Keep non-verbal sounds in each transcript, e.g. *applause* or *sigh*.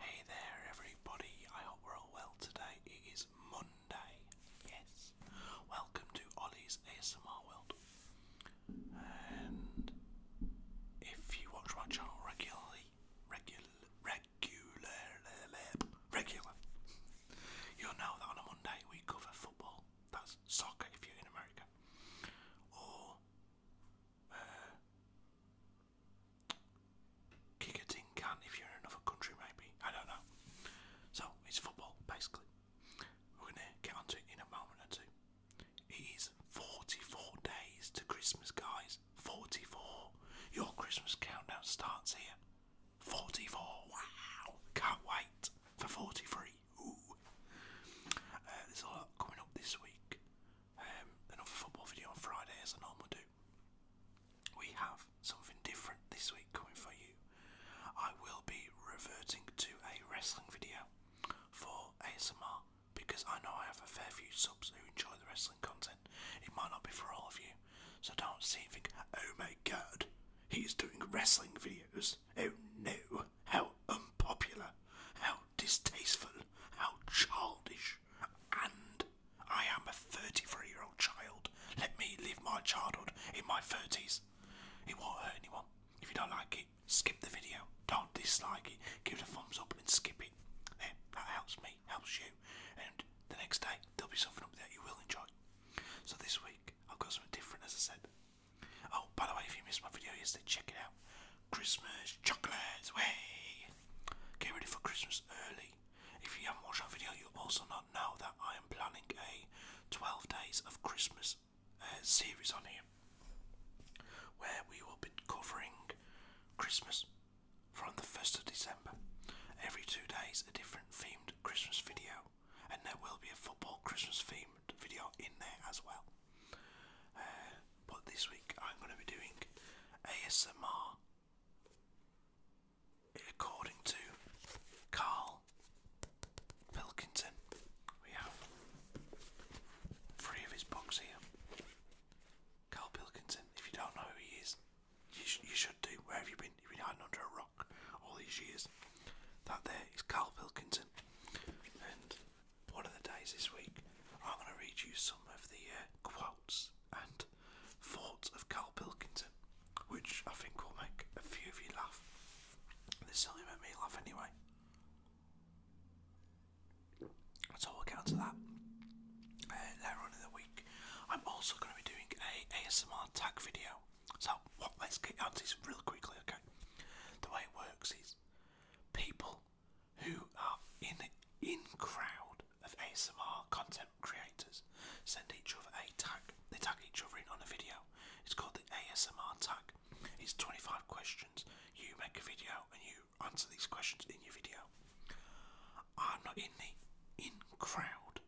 Hey there, everybody. I hope we're all well today. It is Monday. Yes. Welcome to Ollie's ASMR World. And if you watch my channel regularly, regular, regular, regular, you'll know that on a Monday we cover football. That's soccer if you're in America, or uh, kick a tin can if you're in another country, maybe. I don't know. So, it's football, basically. We're going to get onto it in a moment or two. It is 44 days to Christmas, guys. 44. Your Christmas countdown starts here. 44. Wow. Can't wait for 43. Uh, there's a lot coming up this week. Um, another football video on Friday, as I normally do. We have something different this week coming for you. I will be reverting to a wrestling video for ASMR because I know I have a fair few subs who enjoy the wrestling content. It might not be for all of you, so don't see and think, oh my god, he's doing wrestling videos. Oh no, how unpopular, how distasteful, how childish, and I am a 33 year old child. Let me live my childhood in my 30s. It won't hurt anyone. If you don't like it, skip the video. Don't dislike it. Give it a thumbs up and skip it. There, eh, that helps me, helps you. And the next day, there'll be something up there you will enjoy. So this week, I've got something different, as I said. Oh, by the way, if you missed my video yesterday, check it out. Christmas chocolates, way! Get ready for Christmas early. If you haven't watched that video, you also not know that I am planning a 12 days of Christmas uh, series on here, where we will be covering Christmas from the 1st of December. Every two days, a different themed Christmas video, and there will be a football Christmas themed video in there as well. *sighs* but this week I'm going to be doing ASMR according to Carl Pilkington. We have three of his books here. Carl Pilkington, if you don't know who he is, you, should do. Where have you been? You've been hiding under a rock all these years. That there is Carl Pilkington, one of the days this week, I'm going to read you some of the uh, quotes and thoughts of Carl Pilkington, which I think will make a few of you laugh. They certainly make me laugh anyway. So we'll get on that uh, later on in the week. I'm also going to be doing a ASMR tag video. So what? Let's get on to this real quickly, okay? The way it works is people who are in in crowd of ASMR content creators send each other a tag. They tag each other in on a video. It's called the ASMR tag. It's 25 questions. You make a video and you answer these questions in your video. I'm not in the in crowd,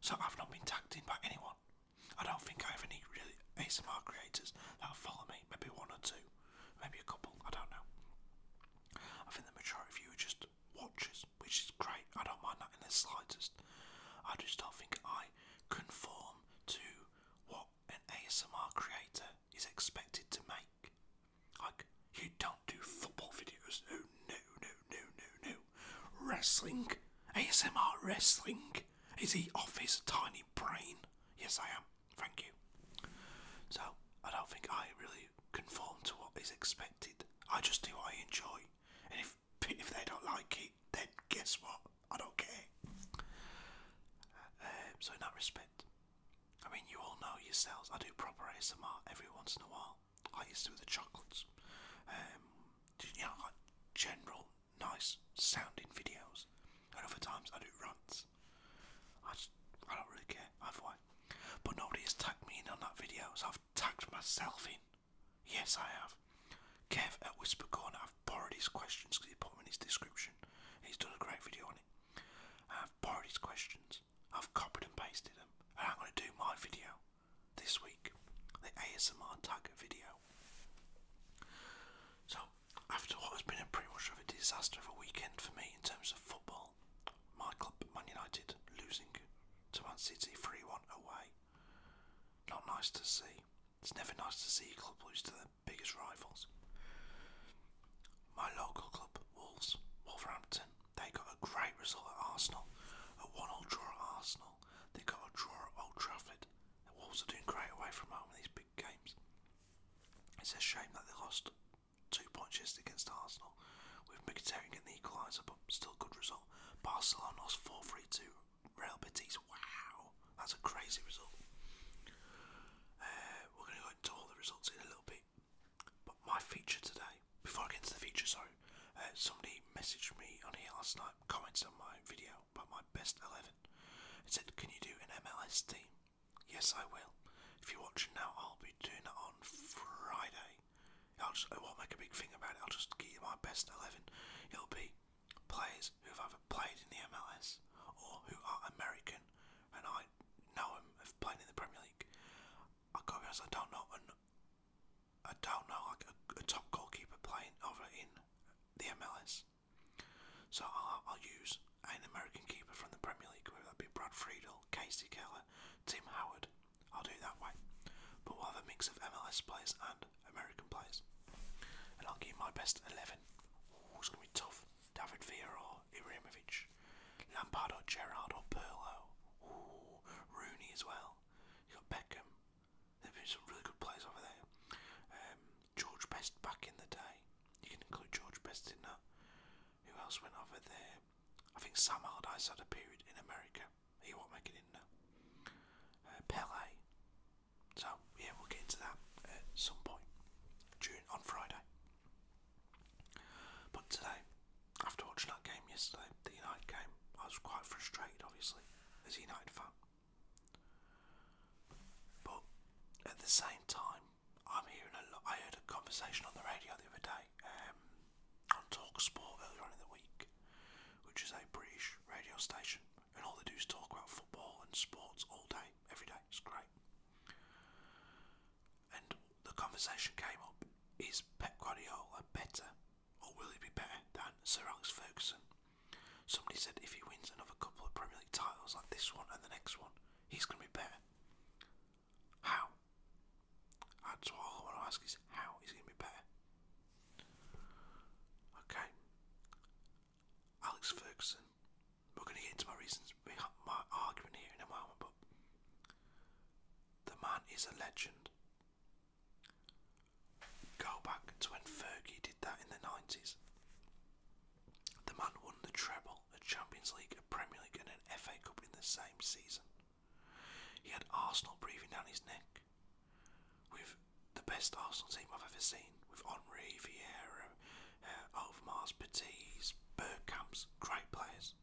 so I've not been tagged in by anyone. I don't think I have any really ASMR creators that follow me, maybe one or two maybe a couple, I don't know. I think the majority of just watchers, which is great. I don't mind that in the slightest. I just don't think I conform to what an ASMR creator is expected to make. Like, you don't do football videos. No, no, no, no, no, no. Wrestling. ASMR wrestling. Is he off his tiny brain? Yes, I am thank you. So, I don't think I really conform to what is expected. I just do what I enjoy. And if, *laughs* if they don't like it, then guess what? I don't care. Um, so, in that respect, I mean, you all know yourselves, I do proper ASMR every once in a while. I used to do the chocolates. Um, you know, general, nice sounding videos. And other times I do runs. I just, I don't really care I've won, But nobody has tagged me in on that video, so I've tagged myself in. Yes, I have. Kev at Whisper Corner, I've borrowed his questions because he put them in his description. He's done a great video on it. I've borrowed his questions. I've copied and pasted them, and I'm going to do my video this week, the ASMR tag video. So after what has been a pretty much of a disaster of a weekend for me in terms of football, my club, Man United, losing to Man City 3 1 away. Not nice to see. It's never nice to see a club lose to their biggest rivals. My local club, Wolves, Wolverhampton, they got a great result at Arsenal, a 1 0 draw at Arsenal. They got a draw at Old Trafford. The Wolves are doing great away from home in these big games. It's a shame that they lost two points against Arsenal, with Mkhitaryan getting the equaliser, but still good result. Barcelona lost 4-3 to Real Betis. Wow, that's a crazy result. Uh, we're going to go into all the results in a little bit. But my feature today, before I get into the feature, sorry, uh, somebody messaged me on here last night, comments on my video about my best 11, He said, Can you do an MLS team? Yes, I will. If you're watching now, I'll be doing it on Friday. I'll just, I won't make a big thing about it. I'll just give you my best 11. It'll be players who have either played in the MLS or who are American and I know them have played in the Premier League. I will to be honest, I don't know. I don't know like a, a top goalkeeper playing over in the MLS. So I'll, I'll use an American keeper from the Premier League, whether that be Brad Friedel, Casey Keller, Tim Howard. I'll do it that way. But we'll have a mix of MLS players and American players. And I'll give my best 11. Ooh, it's going to be tough. David Villa or Ibrahimovic. Lampard or Gerrard or Perlo. Ooh, Rooney as well. you got Beckham. There've been some really good players over there. Um, George Best back in the day. You can include George Best in that. Who else went over there? I think Sam Allardyce had a period in America. He won't make it in there. Uh, Pele. So yeah, we'll get into that at some point during on Friday. But today, after watching that game yesterday, the United game, I was quite frustrated, obviously, as a United fan. But at the same time, I'm hearing I heard a conversation on the radio the other day um, on Talk Sport earlier in the week, which is a British radio station, and all they do is talk about football and sports all day, every day. It's great. And the conversation came up is Pep Guardiola better, or will he be better than Sir Alex Ferguson? Somebody said if he wins another couple of Premier League titles like this one and the next one, he's going to be better. How? That's what I want to ask is how he's going to be better. Okay. Alex Ferguson. We're going to get into my reasons, my argument here in a moment, the man is a legend. Go back to when Fergie did that in the 90s. The man won the treble, a Champions League, a Premier League, and an FA Cup in the same season. He had Arsenal breathing down his neck. With the best Arsenal team I've ever seen, with Henri, Vieira, uh, Overmars, Petit's, Bergkamp's, great players.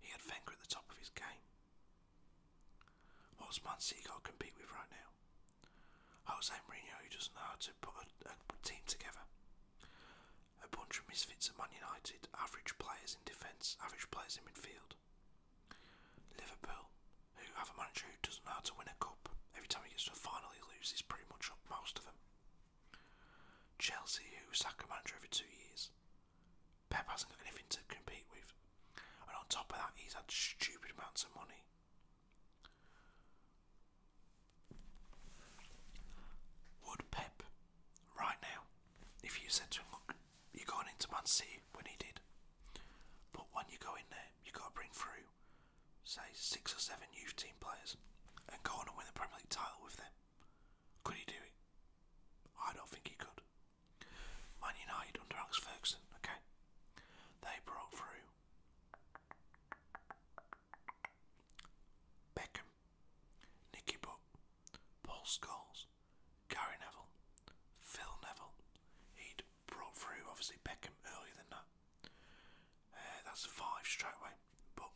He had Wenger at the top of his game. What's Man City got to compete with right now? Jose Mourinho, who doesn't know how to put a, a team together. A bunch of misfits at Man United, average players in defence, average players in midfield. Liverpool, who have a manager who doesn't know how to win a cup. Every time he gets to a final, he loses pretty much up most of them. Chelsea, who sack a manager every two years. Pep hasn't got anything to compete with. And on top of that, he's had stupid amounts of money. Would Pep, right now, if you said to him, look, you're going into Man City when he did, but when you go in there, you've got to bring through, say, six or seven youth team players and go on and win the Premier League title with them. Could he do it? I don't think he could. Man United under Alex Ferguson, okay? They broke through Beckham, Nicky Butt, Paul Scholes, Gary Neville, Phil Neville. He'd brought through obviously Beckham earlier than that. Uh, that's five straight away. But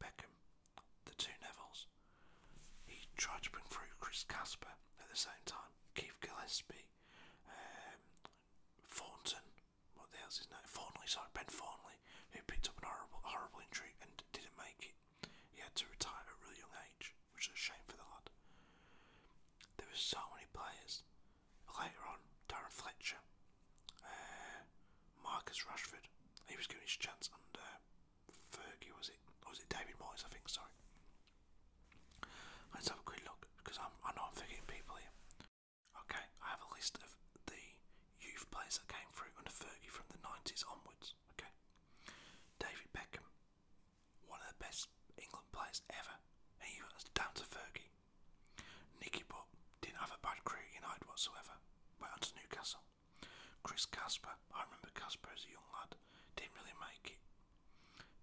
Beckham, the two Nevilles. He tried to bring through Chris Casper at the same time, Keith Gillespie, um, Thornton, what the hell's his name? Fornley, sorry, Ben Fornley, who picked up an horrible, horrible injury and didn't make it. He had to retire at a really young age, which is a shame for the lad. There were so many players. Later on, Darren Fletcher, uh, Marcus Rushford. he was given his chance under uh, Fergie, was it? was it David Moyes? I think, sorry. Let's have a quick look, because I'm, I know I'm forgetting people here. Okay, I have a list of the youth players that came through under Fergie from the 90s onwards. Okay, David Beckham, one of the best England players ever, he was down to Fergie. Nicky Butt didn't have a bad career at United whatsoever, went on to Newcastle. Chris Casper, I remember Casper as a young lad, didn't really make it.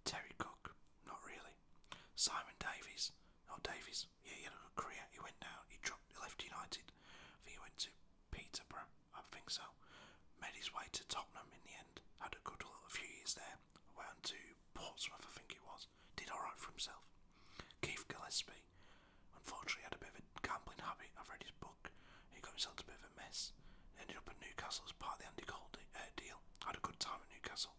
Terry Cook, not really. Simon Davies, not Davies, yeah, he had a good career. He went down. He dropped. He left United. I think he went to Peterborough. I think so. Made his way to Tottenham in the end. Had a good little few years there. Went to Portsmouth, I think it was. Did all right for himself. Keith Gillespie, unfortunately, had a bit of a gambling habit. I've read his book. He got himself a bit of a mess. Ended up at Newcastle as part of the Andy Cole de uh, deal. Had a good time at Newcastle.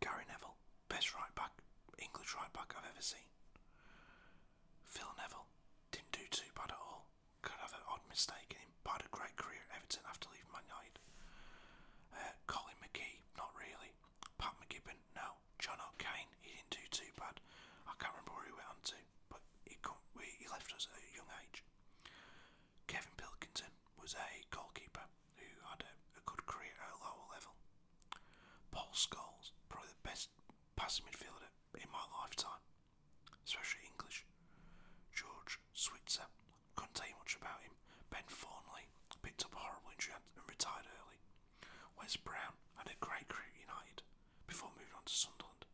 Gary Neville, best right back, English right back I've ever seen. Phil Neville didn't do too bad at all. Could have an odd mistake in him, but had a great career at Everton after leaving Man United. Uh, Colin McKee, not really. Pat McGibbon, no. John O'Kane, he didn't do too bad. I can't remember where he went on to, but he, he left us at a young age. Kevin Pilkington was a goalkeeper who had a, a good career at lower level. Paul Scholes, probably the best passing midfielder in my lifetime, especially English. George Switzer, couldn't tell much about him. Ben Fornley picked up a horrible injury and retired early. Wes Brown had a great career at United before moving on to Sunderland.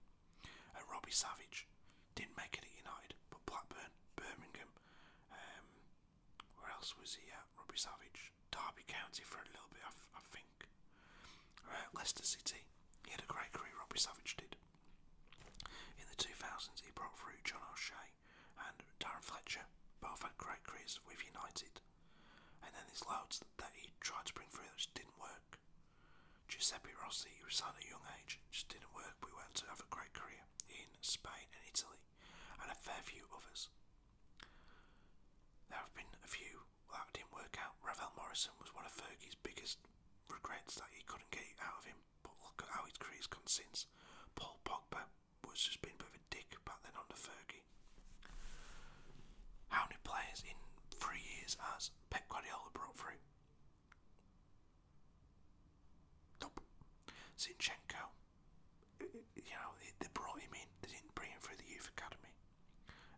And uh, Robbie Savage didn't make it at United, but Blackburn, Birmingham, um, where else was he at? Robbie Savage. Derby County for a little bit, I, I think. Uh, Leicester City. He had a great career, Robbie Savage did. In the 2000s, he brought through John O'Shea and Darren Fletcher. Both had great careers with United. And then there's loads that he tried to bring through that just didn't work. Giuseppe Rossi, he was signed at a young age, just didn't work, We went to have a great career in Spain and Italy and a fair few others. There have been a few that didn't work out. Ravel Morrison was one of Fergie's biggest regrets that he couldn't get out of him, but look at how his career's gone since. Paul Pogba was just been a bit of a dick back then under Fergie. How many players in three years has Pep Guardiola brought through? Nope. Zinchenko, uh, uh, you know, they, brought him in. They didn't bring him through the youth academy,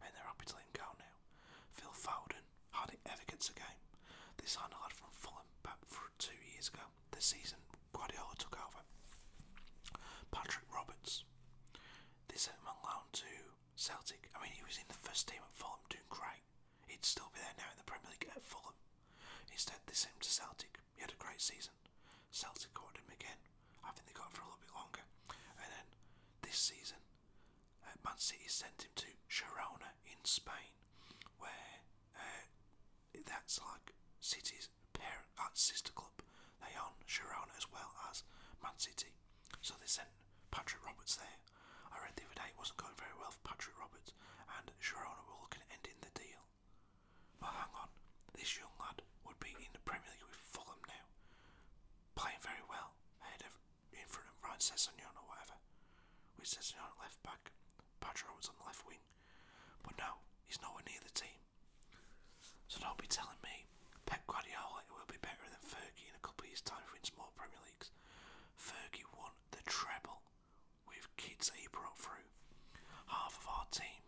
and they're happy to let him go now. Phil Foden hardly ever gets a game. They signed a lad from Fulham back two years ago. This season, Guardiola took over. Patrick Roberts, they sent him on to Celtic. I mean, he was in the first team at Fulham doing great. He'd still be there now in the Premier League at Fulham. Instead, they sent him to Celtic he had a great season. Celtic caught him again. I think they got him for a little bit longer. And then this season, uh, Man City sent him to Girona in Spain, where uh, that's like City's parent uh, sister club. They own Girona as well as Man City. So they sent Patrick Roberts there. I read the other day it wasn't going very well for Patrick Roberts, and Girona were looking end in the deal deal. But hang on, this young lad would be in the Premier League with Fulham now, playing very well, ahead of in front of Ryan Sessegnon or whatever, with Sessegnon at left back, Padro was on the left wing. But no, he's nowhere near the team. So don't be telling me Pep Guardiola will be better than Fergie in a couple of years' time if he wins more Premier Leagues. Fergie won the treble with kids that he brought through. Half of our team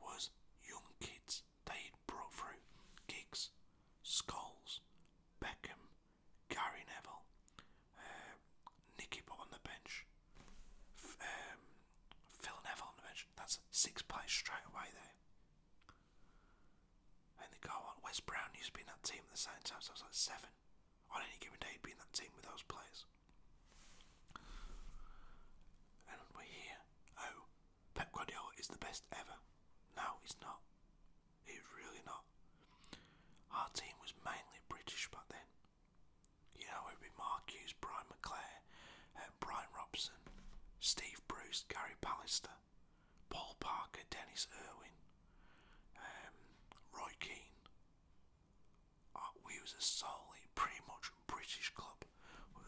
was young kids that he brought through. Giggs, Scholes, Beckham, Gary Neville, um, Nicky put on the bench, um, Phil Neville on the bench. That's six players straight away there. And they go on. Wes Brown used to be in that team at the same time, so I was like seven. On any given day, he'd be in that team with those players. And we're here. Oh, Pep Guardiola is the best ever. No, he's not. He's really not. Our team was mainly British but then. You know, it'd be Mark Hughes, Brian McClare, uh, Brian Robson, Steve Bruce, Gary Pallister, Paul Parker, Dennis Irwin, um, Roy Keane. Uh, we was a solely pretty much British club.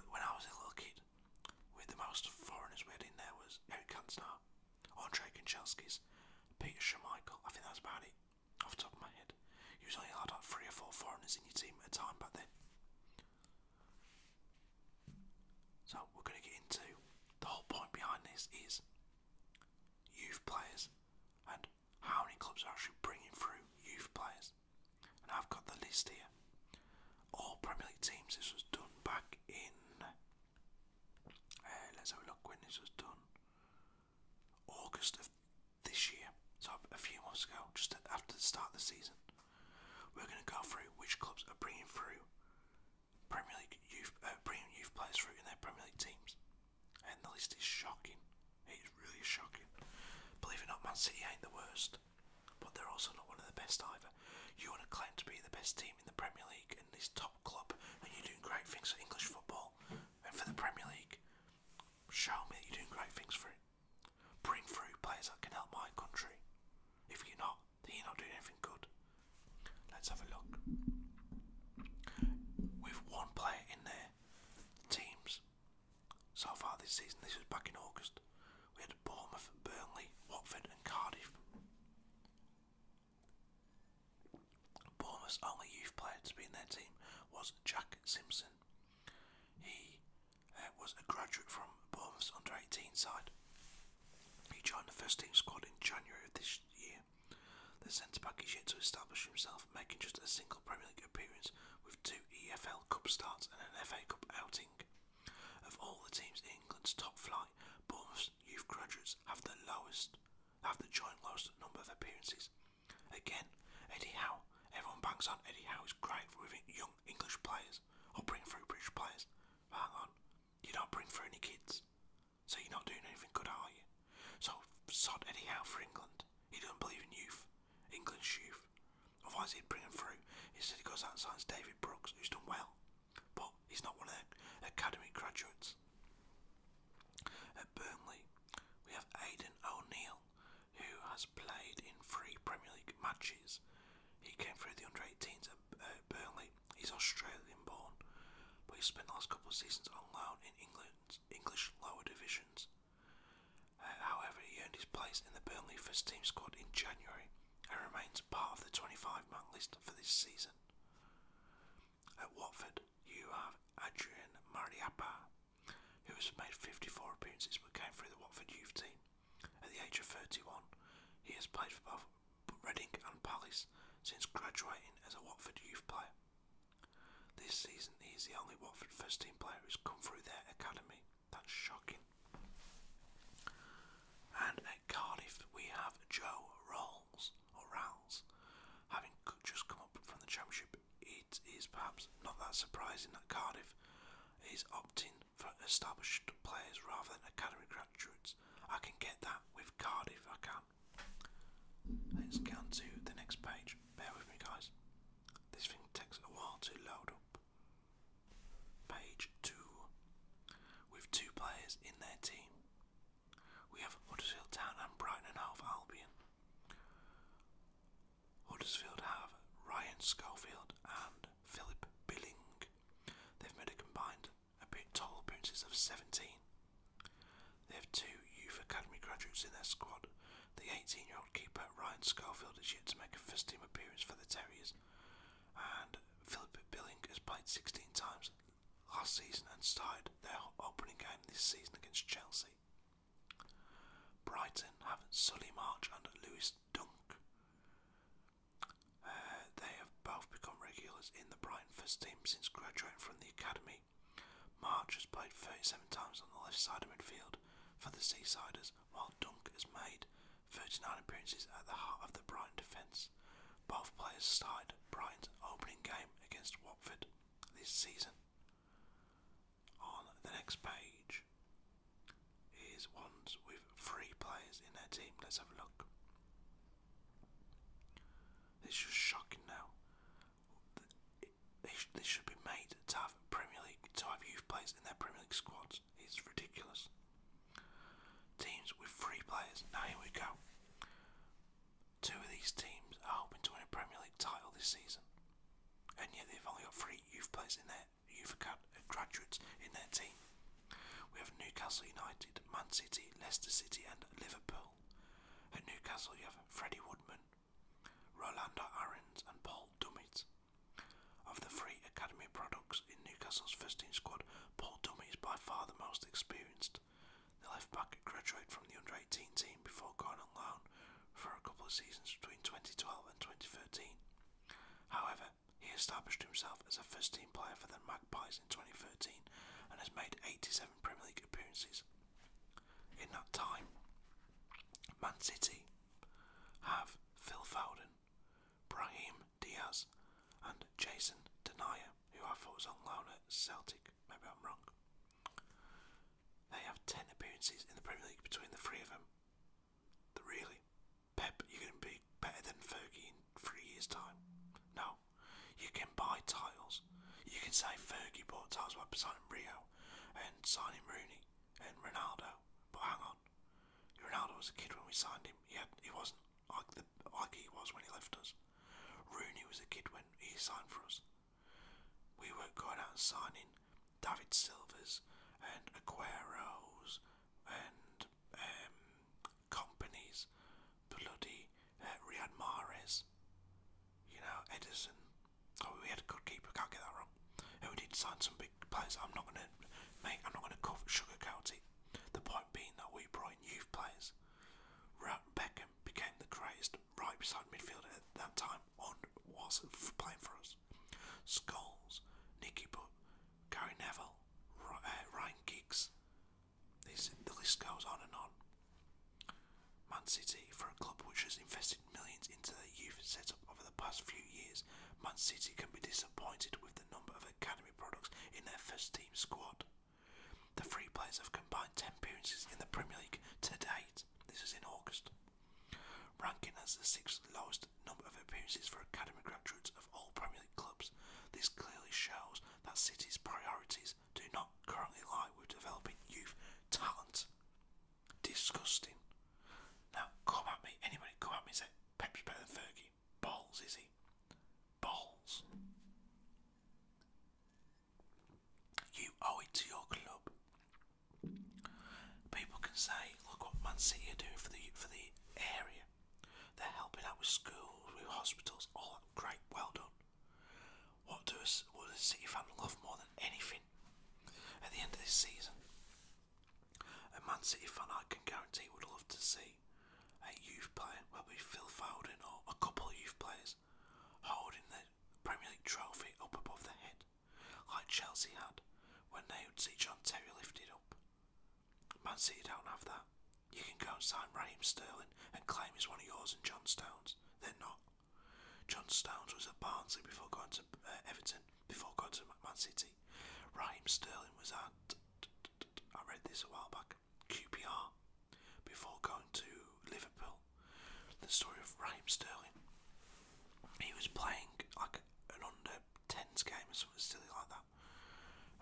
When I was a little kid, with the most foreigners we had in there was Eric Cantona, Andre Kanchelskis, Peter Schmeichel. I think that was about it, off the top of my head. You was only allowed like three or four foreigners in your team at a time back then. So we're going to get into the whole point behind this is youth players and how many clubs are actually bringing through youth players. And I've got the list here. All Premier League teams, this was done back in. Uh, let's have a look when this was done. August of this year, so a few months ago, just after the start of the season. We're going to go through which clubs are bringing through Premier League youth, uh, bringing youth players through in their Premier League teams, and the list is shocking. It is really shocking. Believe it or not, Man City ain't the worst, but they're also not one of the best either. You want to claim to be the best team in the Premier League and this top club, and you're doing great things for English football and for the Premier League. Show me that you're doing great things for it. Bring through players that can help my country. If you're not, then you're not doing anything good. Let's have a look. With one player in their teams so far this season, this was back in August, we had Bournemouth, Burnley, Watford, and Cardiff. Bournemouth's only youth player to be in their team was Jack Simpson. He uh, was a graduate from Bournemouth's under 18 side. He joined the first team squad in January of this year. The centre back is yet to establish himself, making just a single Premier League appearance with two EFL Cup starts and an FA Cup outing. Of all the teams in England's top flight, both youth graduates have the lowest, have the joint lowest number of appearances. Again, Eddie Howe. Everyone bangs on Eddie Howe is great for young English players or bring through British players. But hang on, you don't bring through any kids, so you're not doing anything good, are you? So sod Eddie Howe for England. He doesn't believe in youth, England's youth. Otherwise, he'd bring him through. He said he goes outside and David Brooks, who's done well, but he's not one of the academy graduates. At Burnley, we have Aidan O'Neill, who has played in three Premier League matches. He came through the under 18s at Burnley. He's Australian born, but he spent the last couple of seasons on loan in England's English lower divisions. However, he earned his place in the Burnley first team squad in January and remains part of the 25-man list for this season. At Watford, you have Adrian Mariappa, who has made 54 appearances but came through the Watford youth team. At the age of 31, he has played for both Reading and Palace since graduating as a Watford youth player. This season, he is the only Watford first team player who's come through their academy. That's shocking. And at Cardiff, we have Joe Rawls, or Rowles, having just come up from the Championship. It is perhaps not that surprising that Cardiff is opting for established players rather than academy graduates. I can get that with Cardiff, I can. Let's get to the next page. Bear with me, guys. This thing takes a while to load up. Page 2. With two players in their team. We have Huddersfield Town and Brighton and Half Albion. Huddersfield have Ryan Schofield and Philip Billing. They've made a combined a total appearances of 17. They have two youth academy graduates in their squad the 18 year old keeper Ryan Schofield is yet to make a first team appearance for the Terriers, and Philip Billing has played 16 times last season and started their opening game this season against Chelsea. Brighton have Sully March and Lewis Dunk. Uh, they have both become regulars in the Brighton first team since graduating from the academy. March has played 37 times on the left side of midfield for the Seasiders while Dunk has made 39 appearances at the heart of the Brighton defence. Both players started Brighton's opening game against Watford this season. On the next page is ones with three players in their team. Let's have a look. It's just shocking now they, sh they should be made to have Premier League to have youth players in their Premier League squads. It's ridiculous. Teams with three players. Now here we go. Two of these teams are hoping to win a Premier League title this season, and yet they've only got three youth players in their youth uh, graduates in their team. We have Newcastle United, Man City, Leicester City, and Liverpool. At Newcastle, you have Freddie Woodman, Rolando Arins and Paul Dumit. Of the three academy products in Newcastle's first team squad, Paul Dumit is by far the most experienced. The left back graduated from the under 18 team before going on loan for a couple of seasons between 2012 and 2013. However, he established himself as a first team player for the Magpies in 2013 and has made 87 Premier League appearances. In that time, Man City, have Phil Foden, Brahim Diaz, and Jason Denier, who I thought was on loan at Celtic. Maybe I'm wrong. They have 10 appearances in the Premier League between the three of them. The really? Pep, you're going to be better than Fergie in three years' time? No. You can buy titles. You can say Fergie bought titles by signing Rio and signing Rooney and Ronaldo but hang on. Ronaldo was a kid when we signed him. He had, he wasn't like like he was when he left us. Rooney was a kid when he signed for us. We were not going out and signing David Silvers and Aguero's and um, companies, bloody uh, Riyad Mahrez, you know Edison, Oh, we had a good keeper. Can't get that wrong. And we did sign some big players. I'm not gonna, make. I'm not gonna sugarcoat it. The point being that we brought in youth players. Beckham became the craziest right beside midfielder at that time. On was playing for us. Skulls, Nicky Butt, Gary Neville, uh, Ryan Giggs. This the list goes on and on. Man City, for a club which has invested invested millions into their youth setup over the past few years, Man City can be disappointed with the number of academy products in their first team squad. The three players have combined 10 appearances in the Premier League to date, this is in August, ranking as the sixth lowest number of appearances for academy graduates of all Premier League clubs. This clearly shows that City's priorities do not currently lie with developing youth talent. Disgusting. Now, come at me, anybody, come at me say, Pep's better than Fergie. Balls, is he? Balls. You owe it to your club. People can say, look what Man City are doing for the, for the area. They're helping out with schools, with hospitals, all Great, well done. What does what does City fan love more than anything at the end of this season? A Man City fan I can guarantee would love to see a youth player, whether it's Phil Foden or a couple of youth players, holding the Premier League trophy up above their head, like Chelsea had when they would see John Terry lifted up. Man City don't have that. You can go and sign Raheem Sterling and claim he's one of yours and John Stones. They're not. John Stones was at Barnsley before going to uh, Everton before going to Man City. Raheem Sterling was at, I read this a while back, QPR before going to Liverpool. The story of Raheem Sterling. He was playing like an under 10s game or something silly like that.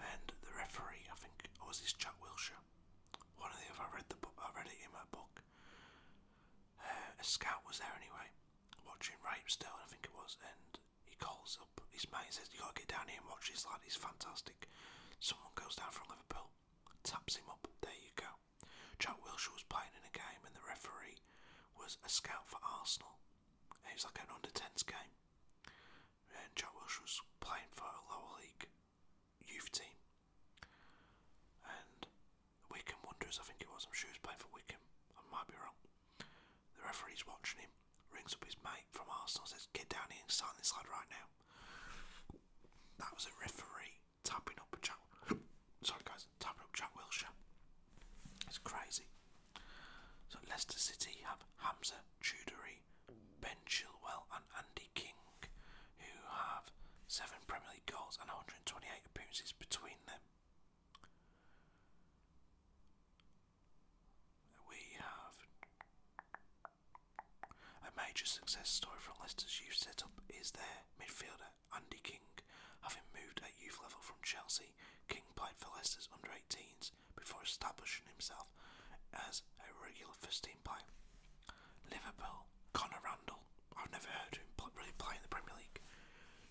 And the referee, I think, was this Chuck Wilshire. One of the other, I read the book, I read it in my book. Uh, a scout was there anyway, watching rape Ripestone, I think it was, and he calls up his mate and says, you got to get down here and watch this Like he's fantastic. Someone goes down from Liverpool, taps him up, there you go. Jack Wilshere was playing in a game and the referee was a scout for Arsenal. It was like an under-10s game. And Jack Wilshere was playing for a lower league youth team. And Wickham Wonders, I think it was. I'm sure he playing for Wickham. I might be wrong. The referee's watching him, rings up his mate from Arsenal, says, Get down here and sign this lad right now. That was a referee tapping up a Jack. *coughs* Sorry, guys, tapping up Jack Wilshire. It's crazy. So, Leicester City have Hamza Chudori, Ben Chilwell, and Andy King, who have seven Premier League goals and 128 appearances between them. We have a major success story from Leicester's youth setup is their midfielder Andy King. Having moved at youth level from Chelsea, King played for Leicester's under 18s before establishing himself as a regular first team player. Liverpool, Connor Randall, I've never heard him really play in the Premier League.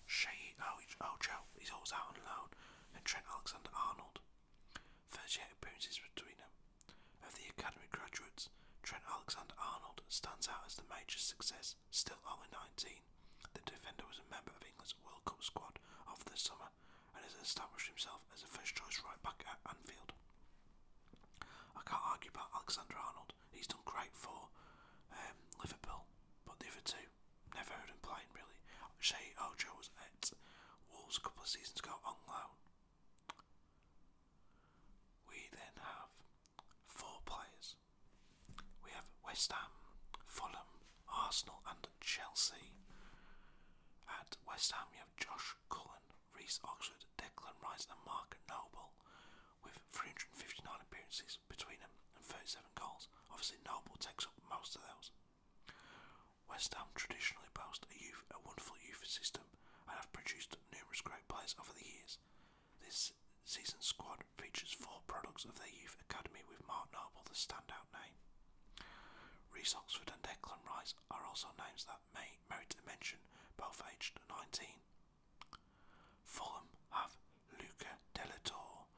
Shea, oh, Ojo, oh, he's always out and alone, and Trent Alexander-Arnold. First year appearances between them. Of the academy graduates, Trent Alexander-Arnold stands out as the major success, still only 19. The defender was a member of England's World Cup squad over the summer and has established himself as a first-choice right-back at Anfield. I can't argue about Alexander-Arnold. He's done great for um, Liverpool, but the other two, Never heard him playing really. Shea Ojo oh, was at Wolves a couple of seasons ago on oh, We then have four players. We have West Ham, Fulham, Arsenal, and Chelsea. At West Ham, you have Josh Cullen, Reese Oxford, Declan Rice, and Mark Noble with 359 appearances between them and 37 goals. Obviously, Noble takes up most of those. West Ham traditionally boast a, wonderful youth system and have produced numerous great players over the years. This season's squad features four products of their youth academy, with Mark Noble the standout name. Reese Oxford and Declan Rice are also names that may merit mention, both aged 19. Fulham have Luca Delator,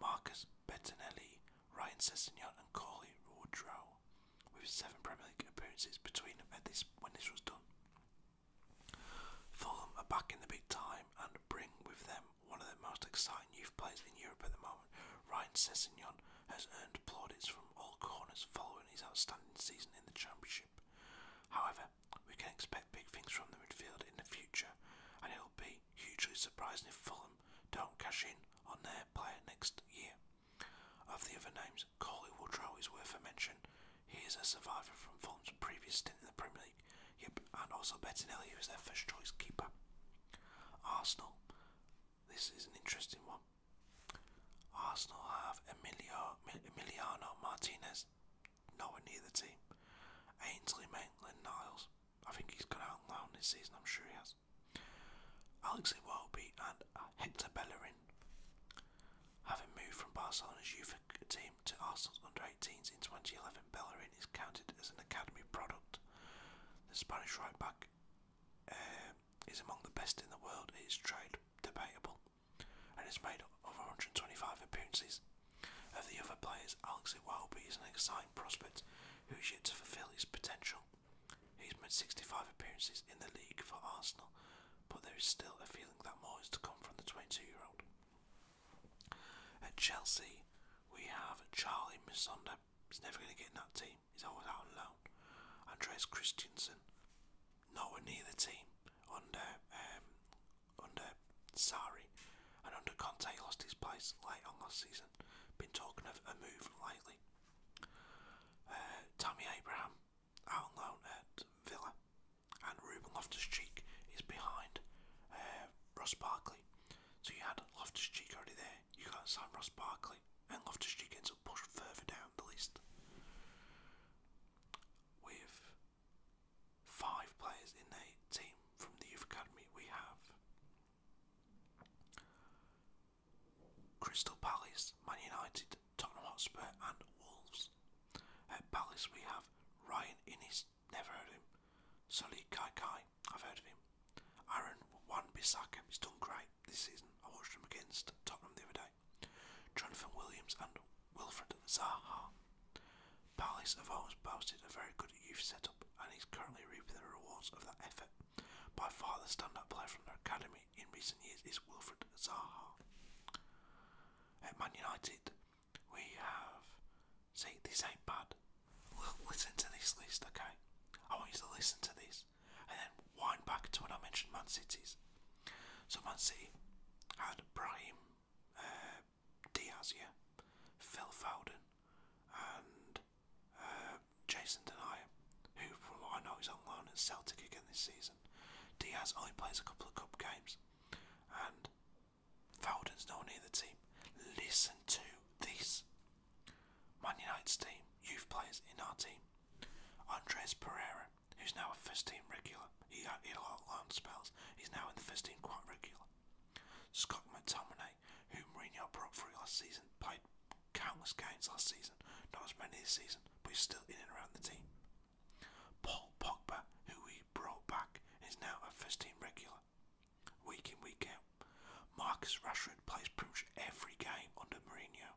Marcus Bettinelli, Ryan Sessegnon and Corley Woodrow, with seven Premier League appearances between them at this when this was done. Fulham are back in the big time and bring with them one of the most exciting youth players in Europe at the moment. Ryan Sessegnon has earned plaudits from all corners following his outstanding season in the Championship. However, we can expect big things from the midfield in the future, and it will be hugely surprising if Fulham don't cash in on their player next year. Of the other names, Corley Woodrow is worth a mention. He is a survivor from Fulham's previous stint in the Premier League, yep, and also Bettinelli, who is their first choice keeper. Arsenal, this is an interesting one. Arsenal have Emilio, Emiliano Martinez, nowhere near the team. Ainsley Maitland-Niles, I think he's gone out on loan this season, I'm sure he has. Alex Iwobi and Hector Bellerin, having moved from Barcelona's youth team to Arsenal's under-18s in 2011, Bellerin is counted as an academy product. The Spanish right back uh, is among the best in the world. It is trade debatable, and has made over 125 appearances of the other players, Alexi Welby is an exciting prospect who's yet to fulfil his potential. He's made 65 appearances in the league for Arsenal, but there is still a feeling that more is to come from the 22 year old. At Chelsea, we have Charlie Missonda. He's never going to get in that team, he's always out on loan. Andreas Christensen, nowhere near the team under um, under Sari and under Conte lost his place late on last season. Been talking of a move lately. Uh, Tommy Abraham out on loan at Villa and Ruben Loftus-Cheek is behind uh, Ross Barkley. So you had Loftus-Cheek already there, you got Sam Ross Barkley and Loftus-Cheek ends up pushed further down the list. With five players in the team from the Youth Academy. We have Crystal Palace, Man United, Tottenham Hotspur, and Wolves. At Palace, we have Ryan Innes, never heard him. Sully Kai Kai, I've heard of him. Aaron Wan Bissaka, he's done great this season. I watched him against Tottenham the other day. Jonathan Williams and Wilfred Zaha. Palace have always boasted a very good youth setup and he's currently reaping the rewards of that effort. By far the standout player from their academy in recent years is Wilfred Zaha. At Man United, we have. See, this ain't bad. listen to this list, okay? I want you to listen to this and then wind back to when I mentioned Man City's. So Man City had Brahim, uh, Diaz, yeah, Phil Foden, and uh, Jason Denier, who I know is on loan at Celtic again this season. Diaz only plays a couple of cup games, and Foden's not near the team. Listen to this. Man United's team, youth players in our team. Andres Pereira, who's now a first team regular, he had a lot of loan spells, he's now in the first team quite regular. Scott McTominay, whom Mourinho brought through last season, played countless games last season, not as many this season, but he's still in and around the team. Paul Pogba, who we brought back, is now a first team regular, week in, week out. Marcus Rashford plays pretty much every game under Mourinho,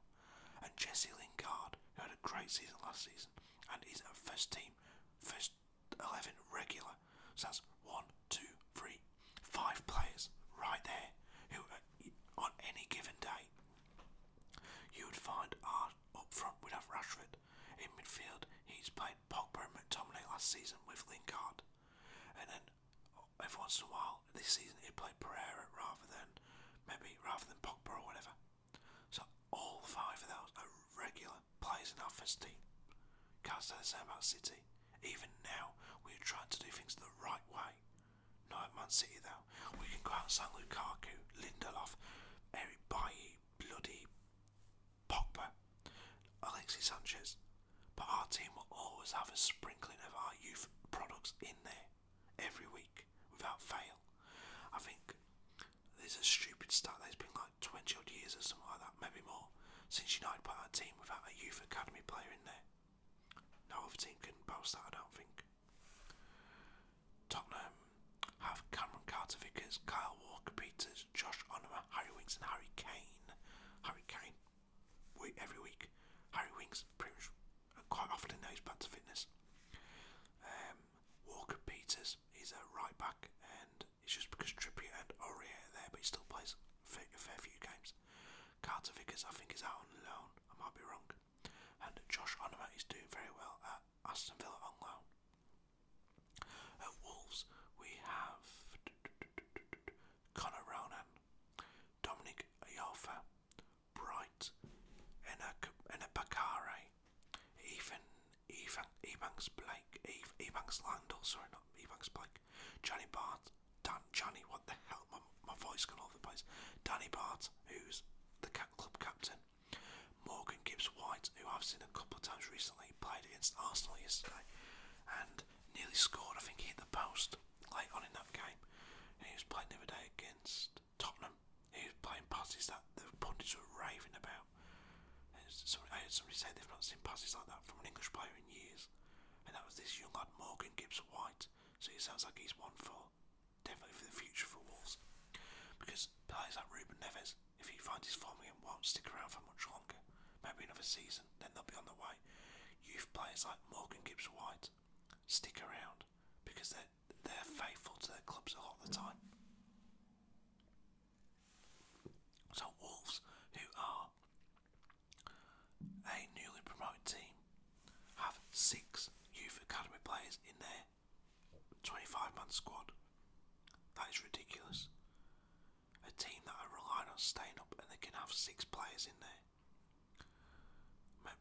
and Jesse Lingard, who had a great season last season, and is a first team, first 11 regular. So that's one, two, three, five players right there who, uh, on any given day, you would find are up front. We'd have Rashford. In midfield, he's played Pogba and McTominay last season with Lingard. And then uh, every once in a while, this season, he'd play Pereira rather than maybe rather than Pogba or whatever. So all five of those are regular players in our first team. Can't say the same about City. Even now, we are trying to do things the right way. Not Man City though. We can go out San Lukaku, Lindelof, Eric Baye, bloody Pogba, Alexis Sanchez. But our team will always have a sprinkling of our youth products in there every week without fail. I think there's a stupid start that's been like. 20 odd years or something like that, maybe more, since United put out a team without a youth academy player in there. No other team can boast that, I don't think. Tottenham have Cameron Carter Vickers, Kyle Walker Peters, Josh Onoma, Harry Winks, and Harry Kane. Harry Kane, we, every week. Harry Winks, uh, quite often now he's back fitness. Um, Walker Peters is a right back, and it's just because Trippier and Aurier are there, but he still plays a fair few games. Carter Vickers, I think, is out on loan. I might be wrong. And Josh Onomat is doing very well at Aston Villa on loan. At Wolves, we have Connor Ronan, Dominic Ayofa, Bright, Enabakare, Ethan Ebanks Blake, Ebanks Landall, sorry, not Ebanks Blake, Johnny Bart, Dan, what the hell? My, my voice gone all the place. Danny Bart, who's the club captain. Morgan Gibbs White, who I've seen a couple of times recently, played against Arsenal yesterday and nearly scored. I think he hit the post late on in that game. he was playing the other day against Tottenham. He was playing passes that the pundits were raving about. So I heard somebody say they've not seen passes like that from an English player in years, and that was this young lad Morgan Gibbs White. So it sounds like he's one for definitely for the future for Wolves, because players like Ruben Neves, if he finds his form again, won't stick around for much longer. Maybe another season, then they'll be on the way. Youth players like Morgan Gibbs White stick around because they're they're faithful to their clubs a lot of the time. So Wolves, who are a newly promoted team, have six youth academy players in their 25-man squad. That is ridiculous. A team that are relying on staying up, and they can have six players in there.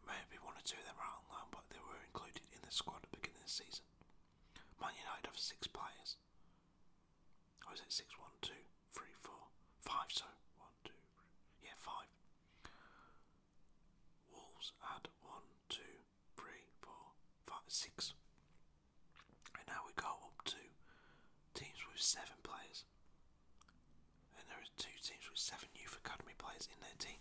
Maybe one or two of them are out on loan, but they were included in the squad at the beginning of the season. Man United have six players. Or it six, one, two, three, four, five? So one, two, three. yeah, five. Wolves had one, two, three, four, five, six. And now we go up to teams with seven players. And there are two teams with seven youth academy players in their team.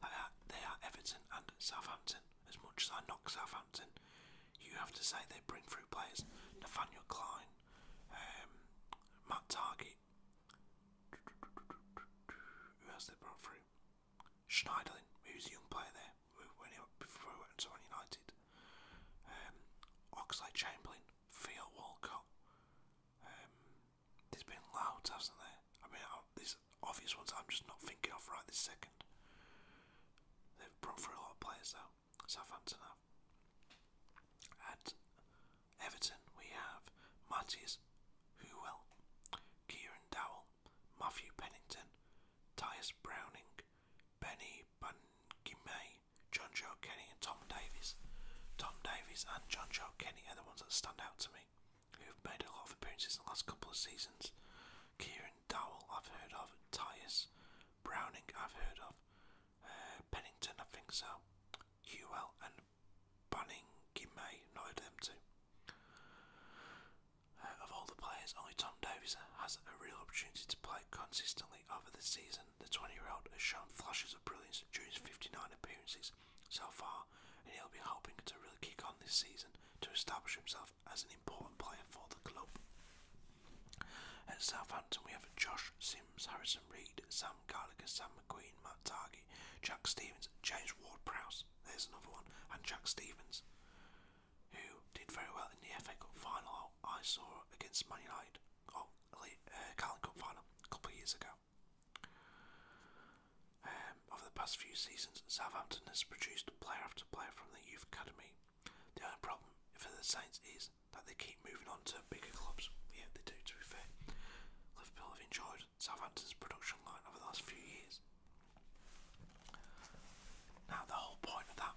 They are, they are Everton and Southampton. As much as I knock Southampton. You have to say they bring through players. Nathaniel Klein, um, Matt Who else they brought through? Schneiderlin, who's a young player there when he, before he went to United. Um, Oxley Chamberlain, Theo Walcott. Um, there's been loads, hasn't there? I mean, there's obvious ones I'm just not thinking of right this second. They've brought through a lot of players though. Southampton have. At Everton, we have Matthias Huwell, Kieran Dowell, Matthew Pennington, Tyus Browning, Benny Bungimay, John Joe Kenny, and Tom Davies. Tom Davies and John Joe Kenny are the ones that stand out to me, who have made a lot of appearances in the last couple of seasons. Kieran Dowell, I've heard of. Tyus Browning, I've heard of. Uh, Pennington, I think so. Hewell and Banning May, not them too. Uh, of all the players, only Tom Davies has a real opportunity to play consistently over the season. The 20 year old has shown flashes of brilliance during his 59 appearances so far, and he'll be hoping to really kick on this season to establish himself as an important player for the club. At Southampton, we have Josh Sims, Harrison Reed, Sam Gallagher, Sam McQueen, Matt Target, Jack Stevens, James Ward Prowse, there's another one, and Jack Stevens, who did very well in the FA Cup final I saw against Man United, or oh, uh, Cup final a couple of years ago. Um, over the past few seasons, Southampton has produced player after player from the youth academy. The only problem for the Saints is that they keep moving on to bigger clubs. Yeah, they do, to be fair. Liverpool have enjoyed Southampton's production line over the last few years. Now, the whole point of that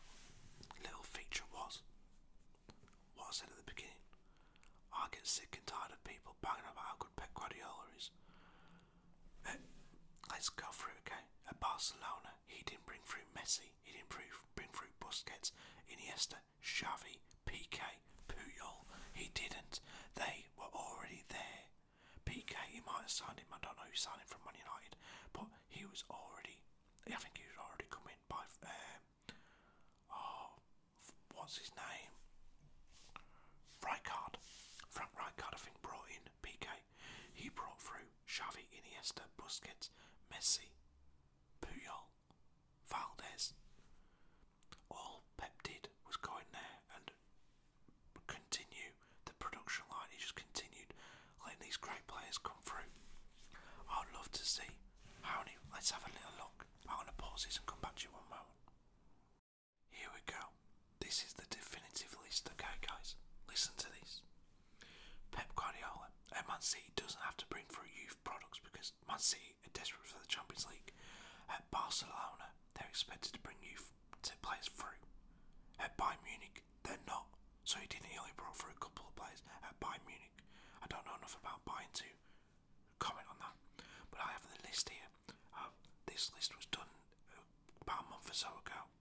little feature was what I said at the beginning. I get sick and tired of people banging about how good Pep Guardiola is. Eh, let's go through it, okay? At Barcelona, he didn't bring through Messi he'd improve, been through Busquets, Iniesta, Xavi, PK, Puyol. He didn't. They were already there. PK, he might have signed him. I don't know who signed him from Man United, but he was already. I think he was already come in by. Um, oh, what's his name? Rijkaard. Frank Rijkaard, I think, brought in PK. He brought through Xavi, Iniesta, Busquets, Messi, Puyol, Valdez. All Pep did was go in there and continue the production line. He just continued letting these great players come through. I'd love to see Let's have a little look. I'm going to pause this and come back to you one moment. Here we go. This is the definitive list, okay, guys? Listen to this. Pep Guardiola at Man City doesn't have to bring through youth products because Man City are desperate for the Champions League. At Barcelona, they're expected to bring youth players through. At Bayern Munich, they're not. So he didn't. He only brought through a couple of players at Bayern Munich. I don't know enough about Bayern to comment on that. But I have the list here. Uh, this list was done about a month or so ago.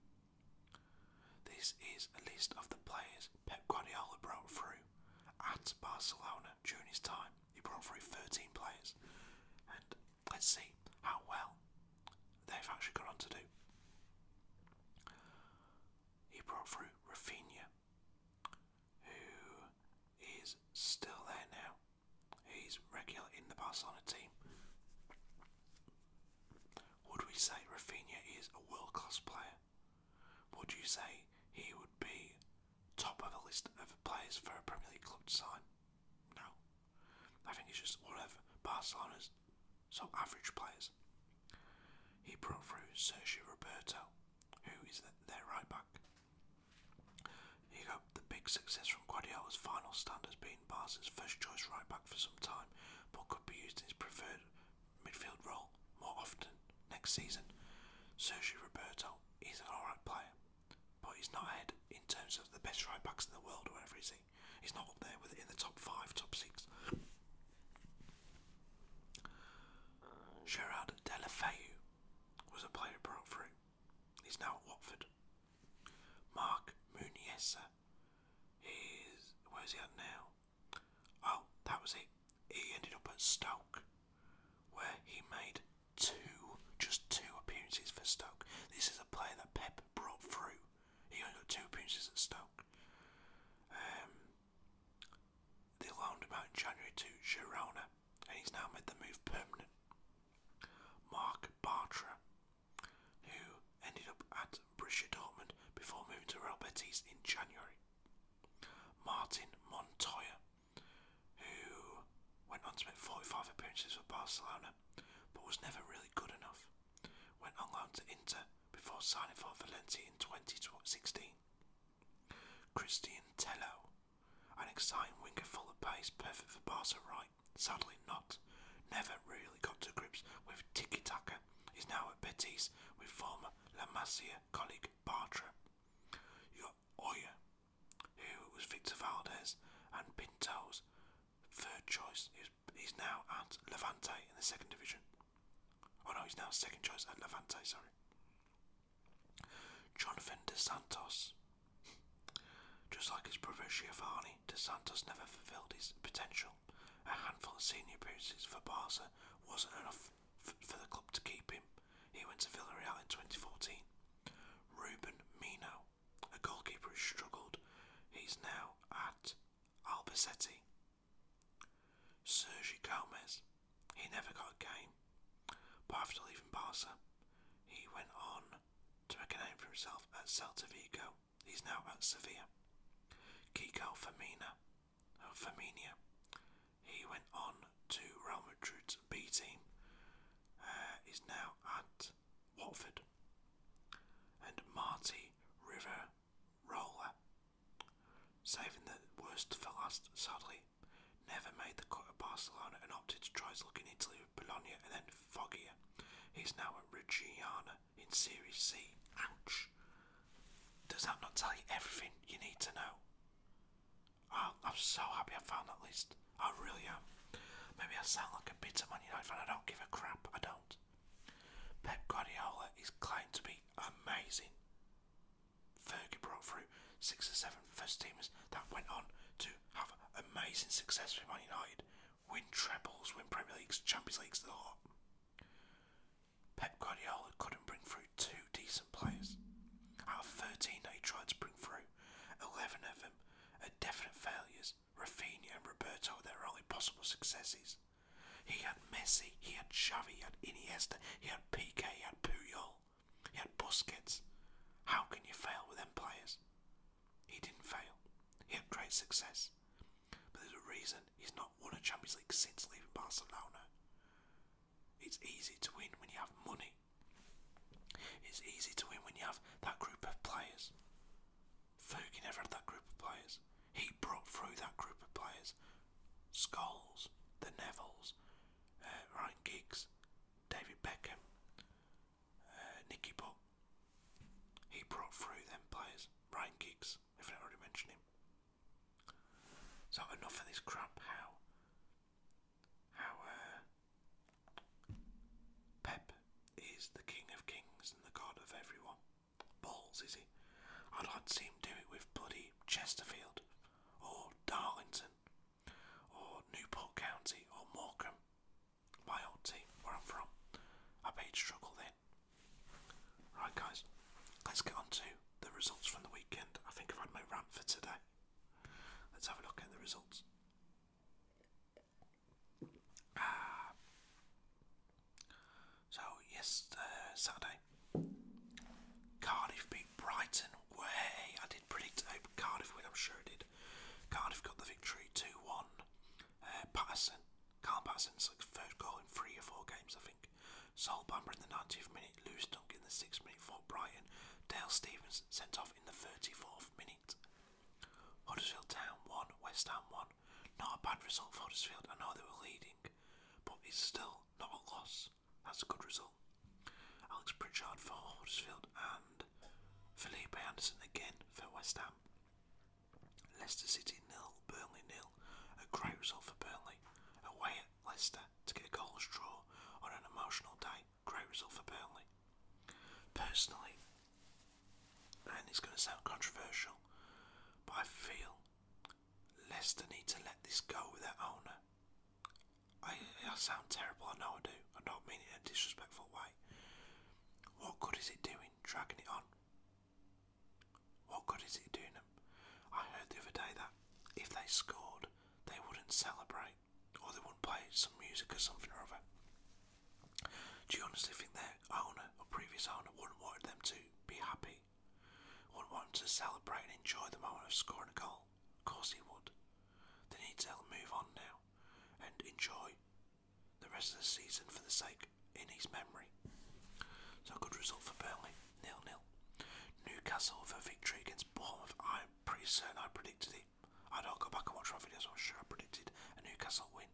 This is a list of the players Pep Guardiola brought through at Barcelona during his time. He brought through 13 players, and let's see how well they've actually gone on to do. He brought through Rafinha, who is still there now. He's regular in the Barcelona team. Would we say Rafinha is a world class player? would you say he would be top of the list of players for a Premier League club to sign? No. I think it's just one of Barcelona's so average players. He brought through Sergio Roberto, who is their right back. He got the big success from Guardiola's final stand as being Barca's first choice right back for some time, but could be used in his preferred midfield role more often next season. Sergio Roberto is an alright player, but he's not ahead in terms of the best right backs in the world, or whatever is He's not up there with in the top five, top six. Gerard Delafeu was a player who broke through. He's now at Watford. Mark Muniesa is where's he at now? Oh, that was it. He ended up at Stoke, where he made two, just two appearances for Stoke. This is a player that Pep brought through. He only got two appearances at Stoke. Um, they loaned him out in January to Girona, and he's now made the move permanent. Mark Bartra, who ended up at Borussia Dortmund before moving to Real Betis in January. Martin Montoya, who went on to make 45 appearances for Barcelona but was never really good enough, went on loan to Inter before signing for Valencia in 2016. Christian Tello, an exciting winger full of pace, perfect for Barca right, sadly not, never really got to grips with tiki-taka, He's now at Betis with former La colleague Bartra. You got Oya, who was Victor Valdez and Pinto's third choice. He he's now at Levante in the second division. Oh no, he's now second choice at Levante, sorry. Jonathan De Santos. Just like his brother Giovanni, De Santos never fulfilled his potential a handful of senior appearances for Barca wasn't enough for the club to keep him. He went to Villarreal in 2014. Ruben Mino, a goalkeeper who struggled, he's now at Albacete. Sergio Gomez, he never got a game, but after leaving Barca, he went on to make a name for himself at Celta Vigo. He's now at Sevilla. Kiko Femina, Firmino. He went on to Real Madrid's B team. Uh, is now at Watford. And Marty River Roller, saving the worst for last, sadly, never made the cut at Barcelona and opted to try his luck in Italy with Bologna and then Foggia. He's now at Reggiana in Series C. Ouch! Does that not tell you everything you need to know? Oh, I'm so happy I found that list. I really am. Maybe I sound like a bit bitter Man United fan. I don't give a crap. I don't. Pep Guardiola is claimed to be amazing. Fergie broke through six or seven first teamers that went on to have amazing success with Man United, win trebles, win Premier Leagues, Champions Leagues, the lot. Pep Guardiola couldn't bring through two decent players. Out of 13 he tried to bring through, 11 of them are definite failures. Rafinha and Roberto were their only possible successes. He had Messi, he had Xavi, he had Iniesta, he had Piqué, he had Puyol, he had Busquets. How can you fail with them players? He didn't fail. He had great success. But there's a reason He's not won a Champions League since leaving Barcelona. It's easy to win when you have money. It's easy to win when you have that group of players. Fergie never had that group of players. He brought through that group of players. skulls, the Nevilles, uh, Ryan Giggs, David Beckham, uh, Nicky Butt. He brought through them players. Ryan Giggs, if I have already mentioned him. So enough of this crap. How how uh, Pep is the king of kings and the god of everyone. Balls is he? I'd like to see him do it with bloody Chesterfield or Darlington or Newport County or Morecambe. My old team, where I'm from. I bet struggle then. Right, guys, let's get on to the results from the weekend. I think I've had my rant for today. Let's have a look at the results. Ah. Uh, so, yesterday, Saturday, Cardiff beat Brighton. Way! I did predict uh, Cardiff win, I'm sure I did. Cardiff got the victory 2 1. Uh, Patterson, Carl Patterson, like third goal in three or four games, I think back. Sol in the nineteenth minute, Lewis Dunk in the 6th minute for Brighton, Dale Stevens sent off in the 34th minute. Huddersfield Town 1, West Ham 1. Not a bad result for Huddersfield, I know they were leading, but it's still not a loss. That's a good result. Alex Pritchard for Huddersfield and Felipe Anderson again for West Ham. Leicester City nil, Burnley nil. A great result for Burnley. Burnley, away at Leicester to get a goalless draw on an emotional day. Great result for Burnley. Personally, and it's going to sound controversial, but I feel Leicester need to let this go with their owner. I, I sound terrible, I know I do. I don't mean it in a disrespectful way. What good is it doing dragging it on? What good is it doing them? I heard the other day that if they scored, they wouldn't celebrate or they wouldn't play some music or something or other. Do you honestly think their owner or previous owner wouldn't want them to be happy? Wouldn't want them to celebrate and enjoy the moment of scoring a goal? Of course he would. They need to move on now and enjoy the rest of the season for the sake in his memory so good result for Burnley, nil nil. Newcastle for victory against Bournemouth. i pretty certain I predicted it. I do go back and watch my videos, I'm sure I predicted a Newcastle win.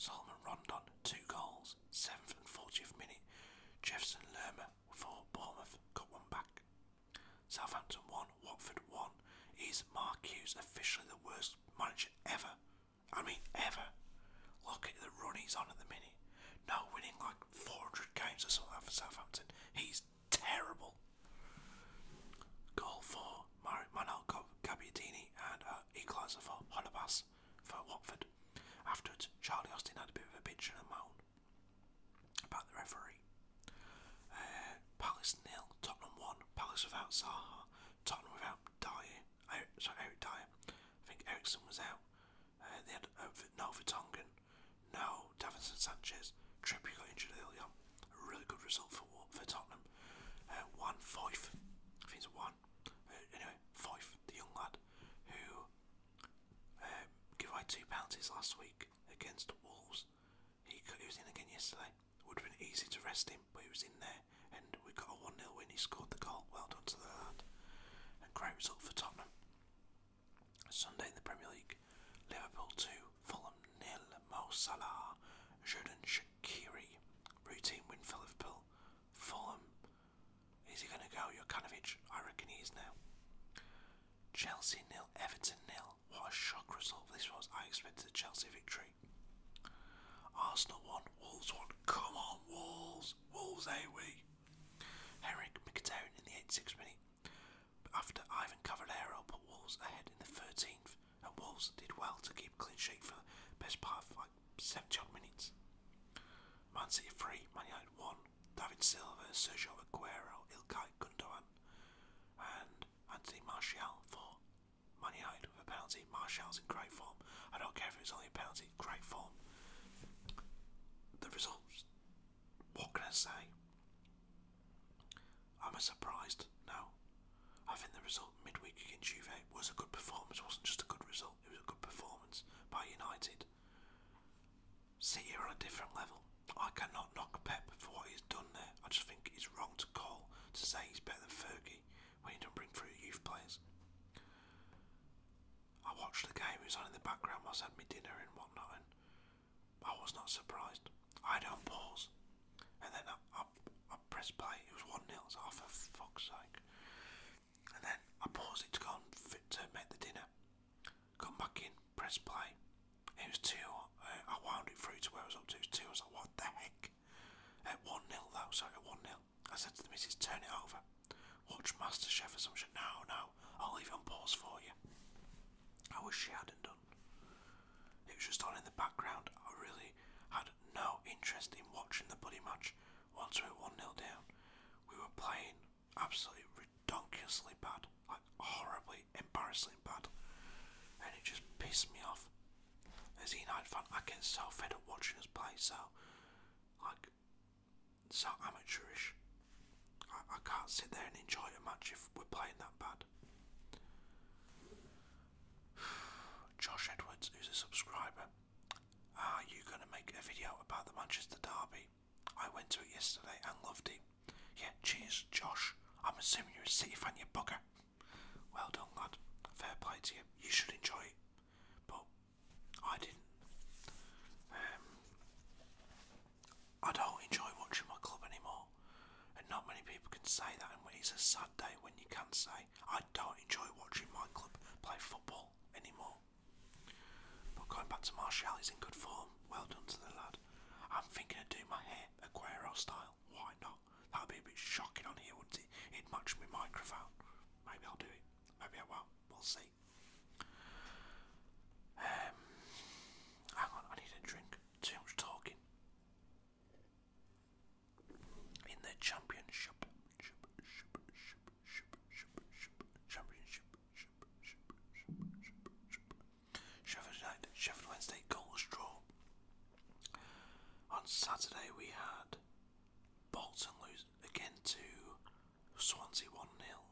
Solomon Rondon, two goals, 7th and 40th minute. Jefferson Lerma for Bournemouth, got one back. Southampton 1, Watford 1. Is Mark Hughes officially the worst manager ever? I mean, ever. Look at the run he's on at the minute. No, winning like 400 games or something for Southampton. He's terrible. Goal for Mar Manuel and uh, equaliser for Holabas for Watford. Afterwards, Charlie Austin had a bit of a bitch and a moan about the referee. Uh, Palace nil, Tottenham one. Palace without Zaha, Tottenham without Dyer. Sorry, Eric Dyer. I think Ericsson was out. Uh, they had uh, no Vertonghen, no Davinson Sanchez. Trippier got injured early on. really good result for for Tottenham. Uh, one Foyth, I think it's one. Uh, anyway, Foyth, the young lad who uh, gave away two penalties last week against Wolves. He, he was in again yesterday. Would have been easy to rest him, but he was in there, and we got a one nil win. He scored the goal. Well done to the lad. great result for Tottenham. Sunday in the Premier League, Liverpool 2, Fulham nil, Mo Salah, Jordan Shakiri, routine win for Liverpool, Fulham, is he going to go, Jokanovic? I reckon he is now. Chelsea nil, Everton nil, what a shock result this was, I expected a Chelsea victory. Arsenal 1, Wolves 1, come on Wolves, Wolves eh we? Herrick McTown in the 86th minute, after Ivan Cavallero put walls ahead in the 13th, and walls did well to keep clean sheet for the best part of like 70 minutes. Man City 3, Man United 1, David Silva, Sergio Aguero, Ilkay Gundogan, and Anthony Martial for Man United with a penalty. Martial's in great form. I don't care if it's only a penalty, great form. The results, what can I say? i Am I surprised? No. I think the result midweek against Juve was a good performance. It wasn't just a good result, it was a good performance by United. City are on a different level. I cannot knock Pep for what he's done there. I just think it's wrong to call to say he's better than Fergie when he don't bring through youth players. I watched the game, it was on in the background whilst I had my dinner and whatnot, I was not surprised. I don't pause. And then I, I, I pressed play, it was 1 nil. so oh, for fuck's sake. And then I paused it to go and fit to make the dinner. Come back in, press play. It was 2, uh, I wound it through to where I was up to, it was 2, I was like, what the heck? At 1 0 though, sorry, 1 0. I said to the missus, turn it over watch MasterChef or some shit. now. Now I'll leave it on pause for you. I wish she hadn't done. It was just on in the background. I really had no interest in watching the bloody match once we were 1 0 down. We were playing absolutely redonkulously bad, like horribly, embarrassingly bad, and it just pissed me off. As a United fan, I can't self up watching us play, so, like, so amateurish. I, can't sit there and enjoy it much if we're playing that bad. *sighs* Josh Edwards, who's a subscriber, are you going to make a video about the Manchester Derby? I went to it yesterday and loved it. Yeah, cheers, Josh. I'm assuming you're a City fan, you bugger. Well done, lad. Fair play to you. You should enjoy it. But I didn't. Um, I don't enjoy watching my club anymore, and not many people can say that. And it's a sad day when you can not say, I don't enjoy watching my club play football anymore. But going back to Marshall, he's in good form. Well done to the lad. I'm thinking of doing my hair Aguero style. Why not? That would be a bit shocking on here, wouldn't it? It'd match my microphone. Maybe I'll do it. Maybe I won't. We'll see. Um, hang on, I need a drink. Too much talking. In the championship, championship, championship, championship, Sheffield United, Sheffield Wednesday, goalless draw. On Saturday we had Bolton lose again to Swansea 1 nil,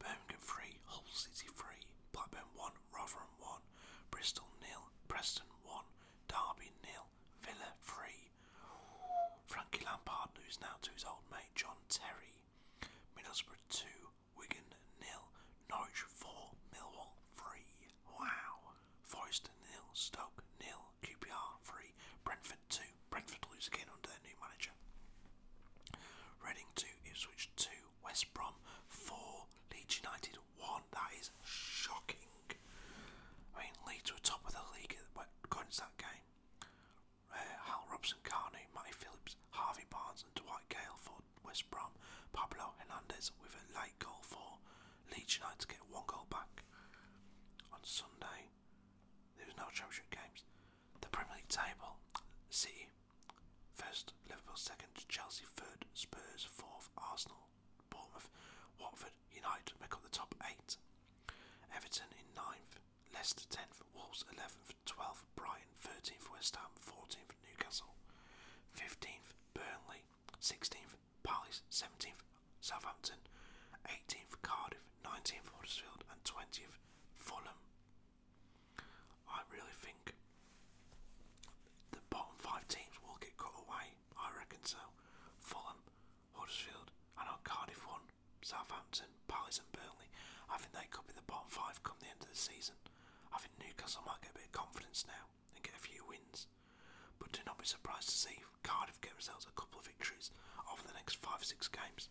Birmingham 3, Hull City 3, Blackburn 1, Rotherham 1, Bristol nil, Preston 1, Derby nil, Villa 3. Frankie Lampard lose now to his old mate John Terry. Middlesbrough 2, Wigan nil, Norwich 4, Millwall 3. Wow. Forest 0, Stoke 0, QPR 3, Brentford 2, Brentford lose again under their new manager. Reading 2, Ipswich 2, West Brom 4, Leeds United 1. That is shocking. I mean, Leeds were top of the league going into that game. Uh, Hal Robson, Carney, Matty Phillips, Harvey Barnes, and Dwight Gale for West Brom. Pablo Hernandez with a late goal for Leeds United to get one goal back. On Sunday, there was no championship games. The Premier League table City first, Liverpool second, Chelsea third, Spurs fourth, Arsenal, Bournemouth, Watford, United make up the top eight. Everton in ninth, Leicester tenth, Wolves eleventh, twelfth, Brighton thirteenth, West Ham fourteenth, Newcastle fifteenth, Burnley sixteenth, Palace seventeenth, Southampton eighteenth, Cardiff nineteenth, Huddersfield and twentieth, Fulham. I really think the bottom five teams will get cut away. I reckon so. Fulham, Huddersfield, I know Cardiff won, Southampton, Palace, and Burnley. I think they could be the bottom five come the end of the season. I think Newcastle might get a bit of confidence now and get a few wins. But do not be surprised to see Cardiff get themselves a couple of victories over the next five or six games.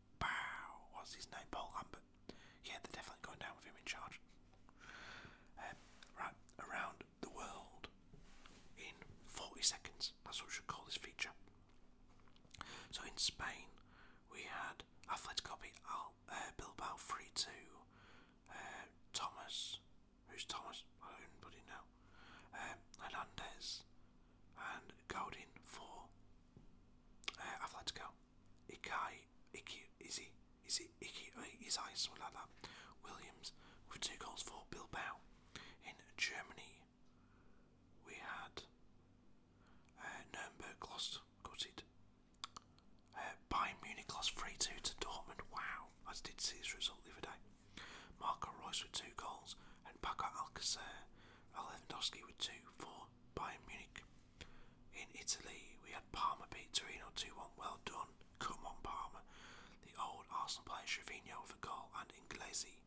Bow. What's his name? Paul Lambert. Yeah, they're definitely going down with him in charge. Um, right, around the world in 40 seconds. That's what we should call this feature. So in Spain, we had Atletico beat Al, uh, Bilbao 3 2. Uh, Thomas. Who's Thomas? I don't know. Um, Hernandez and Godin for. Uh, Atletico. Ikai, Iki, Izzy, Izzy, Iki, Izai, something like that. Williams with two goals for Bilbao. In Germany, we had uh, Nuremberg lost, Got it. Uh, Bayern Munich lost 3 2 to Dortmund. Wow, I did see his result the other day. Marco Royce with two goals and Bakar Alcacer, Lewandowski with two for Bayern Munich. In Italy, we had Palma beat Torino 2 1. Well done, come on, Parma. The old Arsenal player Trevino with a goal and Inglesi.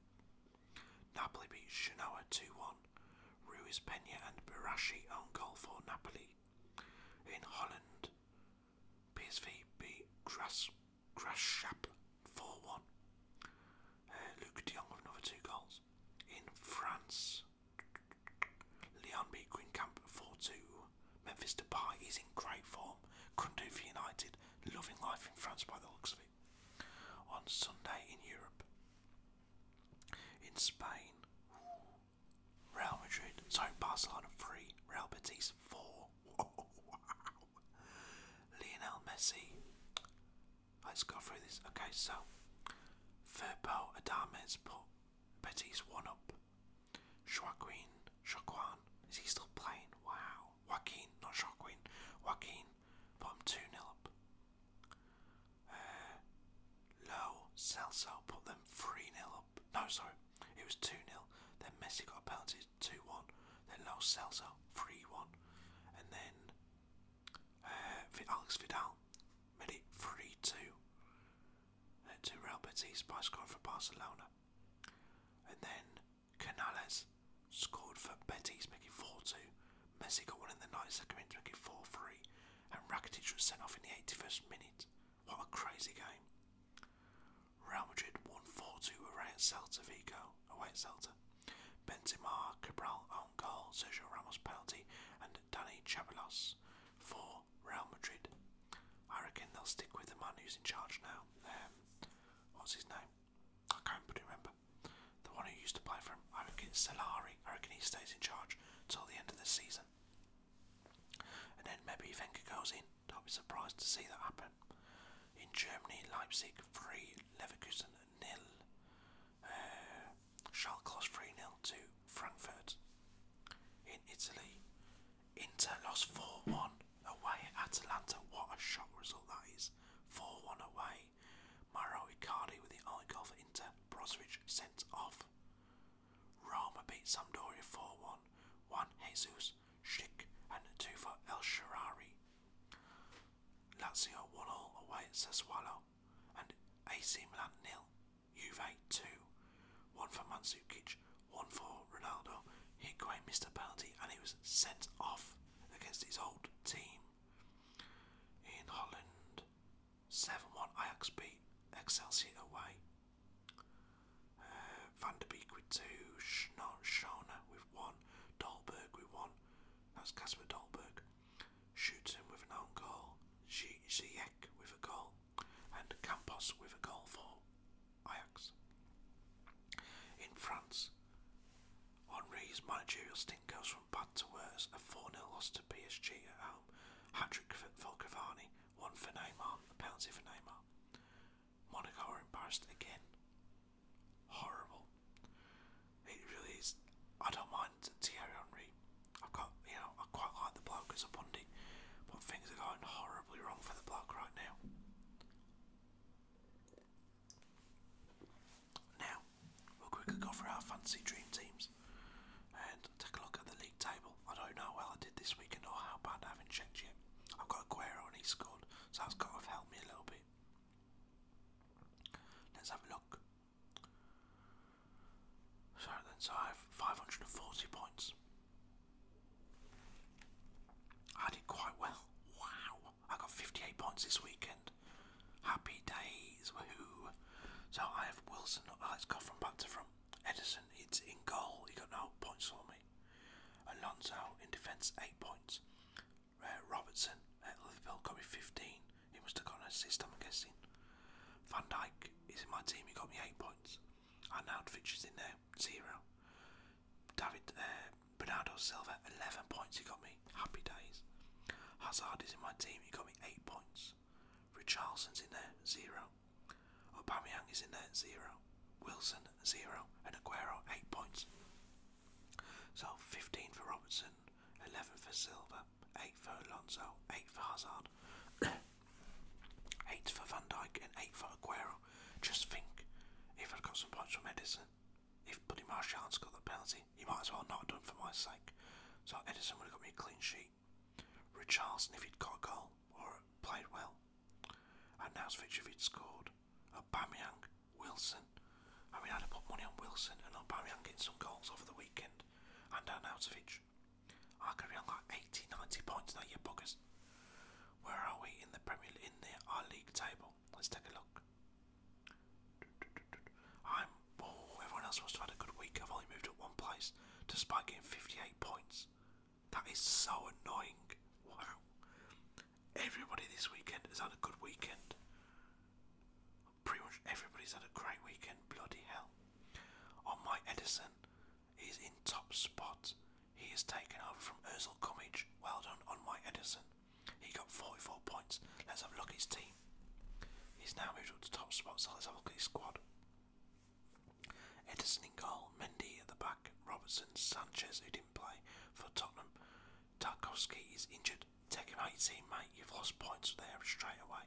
Napoli beat Genoa 2 1. Ruiz Pena and Barashi on goal for Napoli. In Holland, PSV beat Gras Graschap 4 1 uh, Luke de with another two goals. In France, Leon beat Greencamp 4-2. Memphis Depay is in great form. Couldn't do for United. Loving life in France by the looks of it. On Sunday in Europe. In Spain, Real Madrid, sorry, Barcelona 3, Real Betis 4. *laughs* Lionel Messi Let's go through this. Okay, so Firpo, Adames put Betis one up. Joaquin, Joaquin, is he still playing? Wow. Joaquin, not Joaquin. Joaquin put him 2 0 up. Uh, Low, Celso put them 3 0 up. No, sorry, it was 2 0. Then Messi got a penalty 2 1. Then Low Celso 3 1. And then uh, Alex Vidal made it 3 2 Two to Real Betis by scoring for Barcelona. And then Canales scored for Betis, making 4 2. Messi got one in the 92nd minute, making 4 3. And Rakitic was sent off in the 81st minute. What a crazy game. Real Madrid won 4 2 away at Celta Vigo a white seltzer. Benzema, Cabral, own goal, Sergio Ramos penalty, and Danny Chabalos for Real Madrid. I reckon they'll stick with the man who's in charge now. Um, what's his name? I can't remember. The one who used to play for him. I reckon it's I reckon he stays in charge till the end of the season. And then maybe Wenger goes in. Don't be surprised to see that happen. In Germany, Leipzig, 3, Leverkusen nil. Uh, Schalke lost 3 0 to Frankfurt in Italy. Inter lost 4 1 away at Atalanta. What a shock result that is. 4 1 away. Mauro Icardi with the only goal for Inter. Brozovic sent off. Roma beat Sampdoria 4 1. Juan Jesus, Schick, and 2 for El Sharari. Lazio 1 all away at Sassuolo and AC Milan nil. Juve 2. One for Mandzukic, one for Ronaldo. Higuain missed a penalty and he was sent off against his old team. In Holland, 7-1 Ajax beat Excelsior away. Uh, Van der Beek with 2, Schona with 1, Dolberg with 1. That's Casper Dolberg. Shoots him with an own goal, Ziyech with a goal, and Campos with a goal for Ajax. In France, Henri's managerial stint goes from bad to worse. A 4 0 loss to PSG at home, hat trick for Cavani, one for Neymar, a penalty for Neymar. Monaco are embarrassed again horrible. It really is. I don't mind Thierry Henry. I've got, you know, I quite like the bloke as a pundit, but things are going horribly wrong for the bloke right now. Now, we'll quickly go for our fancy dream teams and take a look at the league table. I don't know how well I did this weekend or how bad haven't checked yet. I've got Aguero and he scored, so that's got helped me a little bit. Let's have a look. So then, so I have 540 points. I did quite well. Wow! I got 58 points this weekend. Happy days, woohoo! So I have Wilson. Oh, uh, let's go from back to front. Edison, it's in goal. He got no points for me. Alonso in defence, eight points. Robertson Liverpool got me 15. He must have got a system. I'm guessing. Van Dijk is in my team. He got me 8 points. Arnaud Fitch is in there. 0. David uh, Bernardo Silva, 11 points. He got me. Happy days. Hazard is in my team. He got me 8 points. Richarlison's in there. 0. Aubameyang is in there. 0. Wilson, 0. And Aguero, 8 points. So 15 for Robertson, 11 for Silva, 8 for Alonso, 8 for Hazard, 8 for Van Dijk, and 8 for Aguero. Just think, if I'd got some points for Edison, if Buddy Marshall has got the penalty, you might as well not have done for my sake. So Edison would have got me a clean sheet. Richarlson, if he'd got a goal or played well, and Nausvich if he'd scored, Aubameyang Wilson. I mean, I'd have put money on Wilson and Aubameyang getting some goals over the weekend, and Arnautovic. I could be on like 80, 90 points now, you buggers. Where are we in the Premier in the our league table? Let's take a look. I'm. Oh, everyone else must have had a good week. I've only moved up one place, despite getting 58 points. That is so annoying. Wow. Everybody this weekend has had a good weekend pretty much everybody's had a great weekend. Bloody hell! On my Edison, he's in top spot. He is taken over from Erzul Gummidge. Well done on my Edison. He got 44 points. Let's have a look at his team. He's now moved up to top spot, so let's have a look at his squad. Edison in goal, Mendy at the back, Robertson, Sanchez who didn't play for Tottenham. Tarkowski is injured, said, Take him out mate. You've lost points there straight away.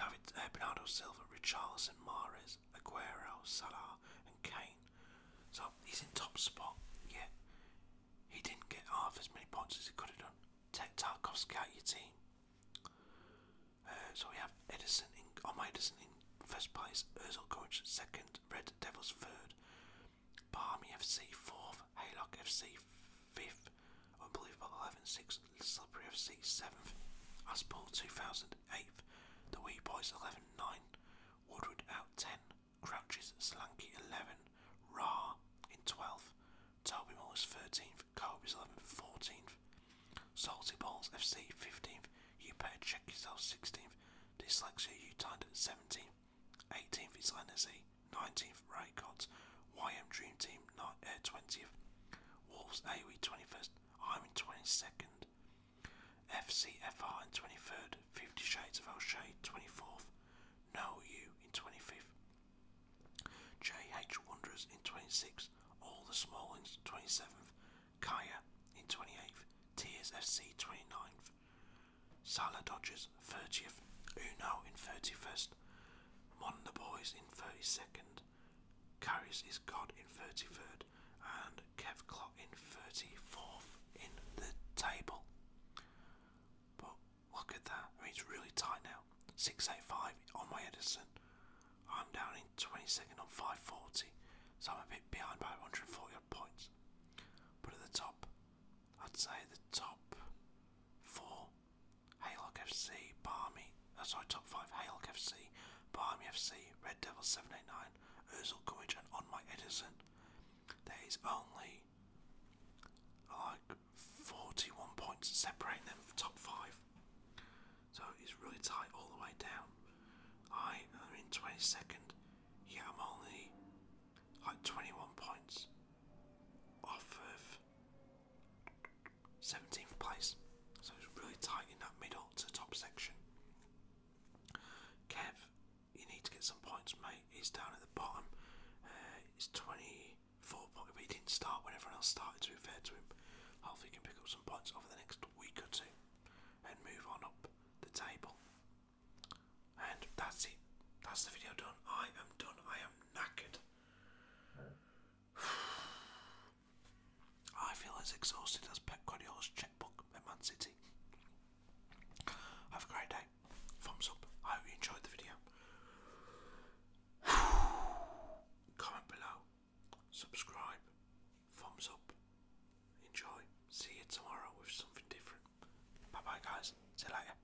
David uh, Bernardo Silva, Richarlison, Mares, Aguero, Salah, and Kane. So he's in top spot, yet he didn't get half as many points as he could have done. Take Tarkovsky out your team. Uh, so we have Edison in, Oh, my Edison in first place, Ozil Gorge second, Red Devils third, Barmy FC fourth, Haylock FC fifth, Unbelievable 11 sixth, Slippery FC seventh, Aspall 2000 The Wee Boys 11 9, Woodward out 10, Crouches Slanky 11, Ra in 12th, Toby Mullers 13th, Kobe's 11th 14th, Salty Balls FC 15th, You Better Check Yourself 16th, Dyslexia You Timed at 17th, 18th is Lenazee, 19th Raycott, YM Dream Team not, uh, 20th, Wolves AOE 21st, Iron am in 22nd, FCFR in 23rd, 50 Shades of O'Shea 24th, No You in 25th, JH Wanderers in 26th, All the Smallings 27th, Kaya in 28th, Tears FC 29th, Salah Dodgers 30th, Uno in 31st, the Boys in 32nd, Carries is God in 33rd, and Kev Clot in 34th in the table. But look at that, I mean, it's really tight now. 685 on my Edison. I'm down in 22nd on 540, so I'm a bit behind by 140 points. But at the top, I'd say the top four Hale FC, Barmy, That's uh, sorry, top 5, Hale FC, Barmy FC, Red Devils 789, Ozil Gummidge and On Mike Edison. There is only like 41 points separating them from top 5. So it's really tight all the way down. I am in 22nd, Yeah, I'm only like 21 points off of 17th place. So it's really tight in that middle to top section. Kev, you need to get some points, mate. He's down at the bottom. Uh, 24 points, but didn't start when everyone else started, to fair to him. Hopefully, can pick up some points over the next week or two and move on up the table. And that's it. That's the video done. I am done. I am knackered. *sighs* I feel as exhausted as Pep Guardiola's checkbook at Man City. Have a great day. Thumbs up. I hope you enjoyed the video. *sighs* Comment below. Subscribe. Thumbs up. Enjoy. See you tomorrow with something different. Bye bye, guys. See later.